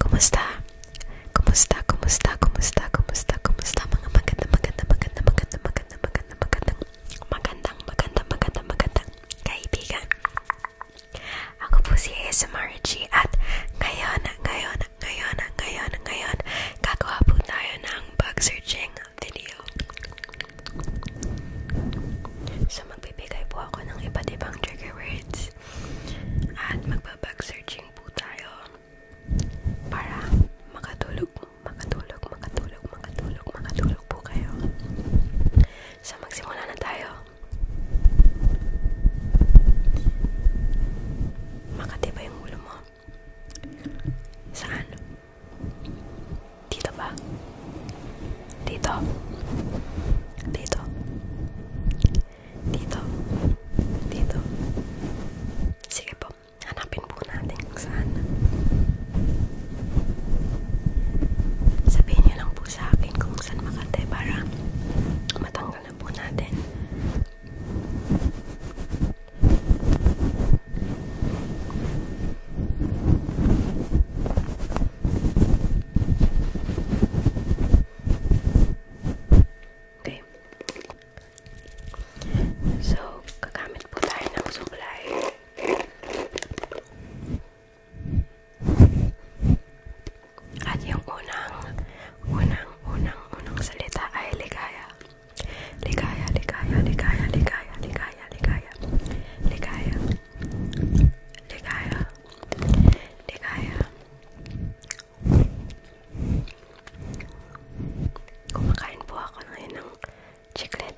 Kumusta? Kumusta? Kumusta? Kumusta? Kumusta? Kumusta? Mga maganda, maganda, maganda, maganda, maganda, maganda, maganda, magandang, magandang, magandang, magandang kaibigan. Ako po si ASMRG at ngayon, ngayon, ngayon, ngayon, ngayon, gagawa po tayo ng bug searching video. So, magbibigay po ako ng iba't ibang trigger words at magbabag searching po tayo para makatulog, makatulog, makatulog, makatulog, makatulog po kayo. So, magsimula na tayo. Makati ba yung ulo mo? Saan? Dito ba? Dito. Dito. Dito. Dito. Sige po. Hanapin po natin kung saan. Sabihin nyo lang po sa akin kung saan Makate para matanggal na po natin. Okay. So, kagamit po tayo ng suklay. At yung unang, unang, unang, unang salita ay ligaya. Ligaya, ligaya, ligaya, ligaya, ligaya, ligaya. Ligaya, ligaya ligaya kumakain po ako ngayon ng chiclet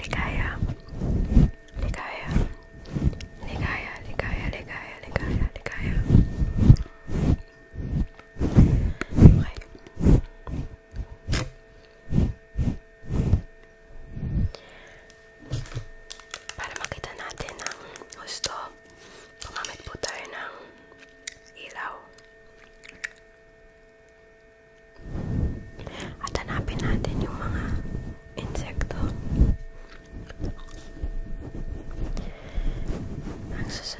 ligaya ligaya ligaya ligaya ligaya ligaya ligaya okay para makita natin ang gusto, pumamit po tayo ng ilaw. At hanapin natin yung mga insekto. Ang susunod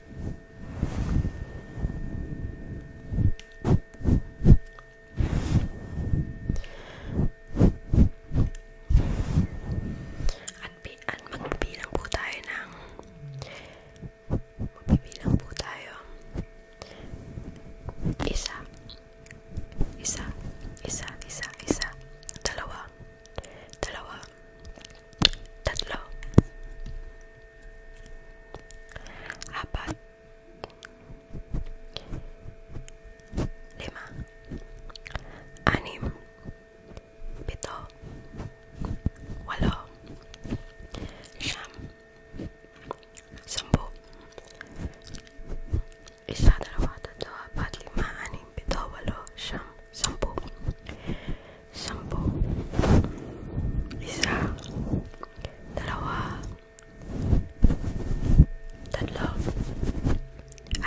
At, at magbibilang po tayo ng magbibilang po tayo isa isa, isa, isa, isa dalawa dalawa tatlo apat lima anim pito walo siyam sampu isa, dalawa, tatlo, apat, lima, anim pito, walo, siyam, sampu. Sampu. Isa. Dalawa. Tatlo.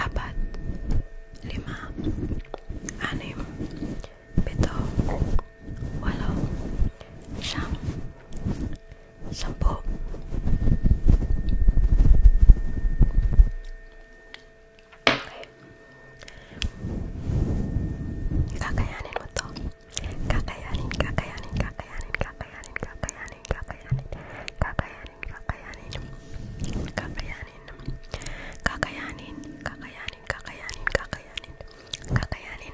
Apat. Lima. Anim. Pito. Walo. Siyam. Sampu. Kakayanin mo to. Kakayanin, kakayanin, kakayanin, kakayanin, kakayanin, kakayanin, kakayanin, kakayanin, kakayanin, kakayanin, kakayanin, kakayanin, kakayanin, kakayanin, kakayanin, kakayanin,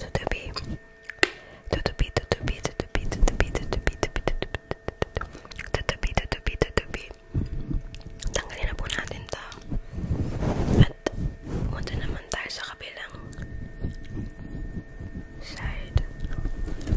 Tutubi Tutubi Tutubi Tutubi Tutubi Tutubi Tutubi Tutubi Tutubi Tanggalin na po natin to At punta naman tayo sa kabilang Side Ayan.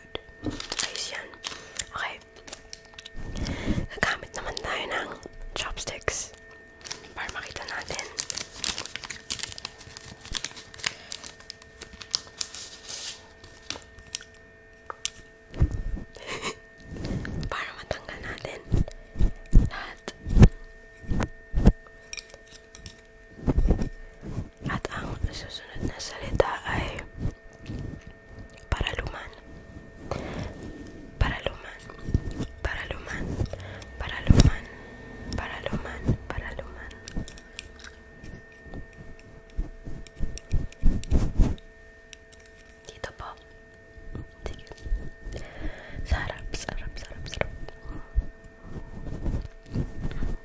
good. Ayos yan. Okay. Nagamit naman tayo ng chopsticks para makita natin. para matanggal natin lahat. At ang susunod na salita ay paraluman. Paraluman. Paraluman. Paraluman. Paraluman. Paraluman. Dito po. Sige. Sarap, sarap, sarap, sarap.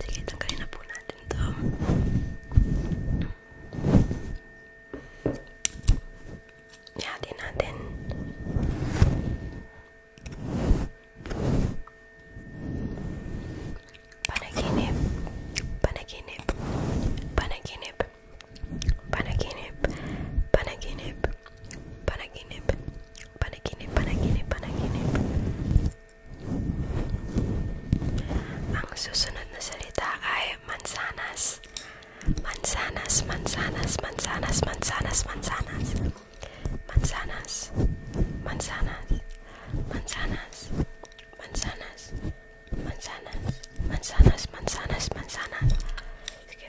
Sige, tanggalin na po natin to. Ihatin natin. Panaginip. Panaginip. Panaginip. Panaginip. Panaginip. Panaginip, Ang susunod na salita ay mansanas. Mansanas, mansanas, mansanas, mansanas, mansanas. Mansanas, mansanas, mansanas, mansanas, mansanas, mansanas, mansanas, mansanas. Sige.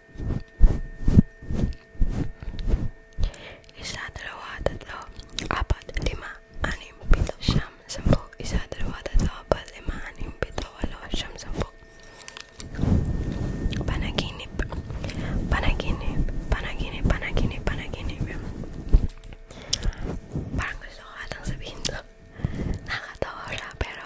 Isa, dalawa, tatlo, apat, lima, anim, pito, siyam, sampu. Isa, dalawa, tatlo, apat, lima, anim, pito, walo, siyam, sampu. Panaginip. Panaginip. Panaginip. Panaginip. Panaginip. Parang gusto ko atang sabihin to. Nakatawa siya pero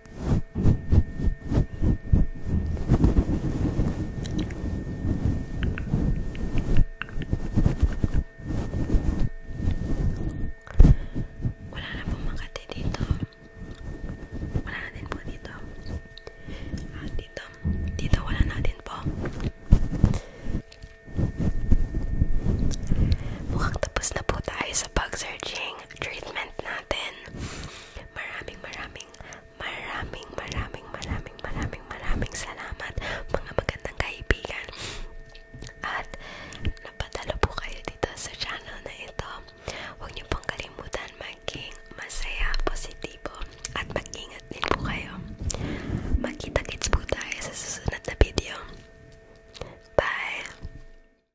Wala na pong Makati dito. Wala na din po dito. Ah, dito. Dito wala na din po. Mukhang tapos na po tayo sa pag-searching treatment natin. Maraming, maraming, maraming, maraming, maraming, maraming, maraming salamat mga magandang kaibigan. At napadala po kayo dito sa channel na ito. Huwag niyo pong kalimutan maging masaya, positibo, at mag-ingat din po kayo. Magkita-kits po tayo sa susunod na video. Bye!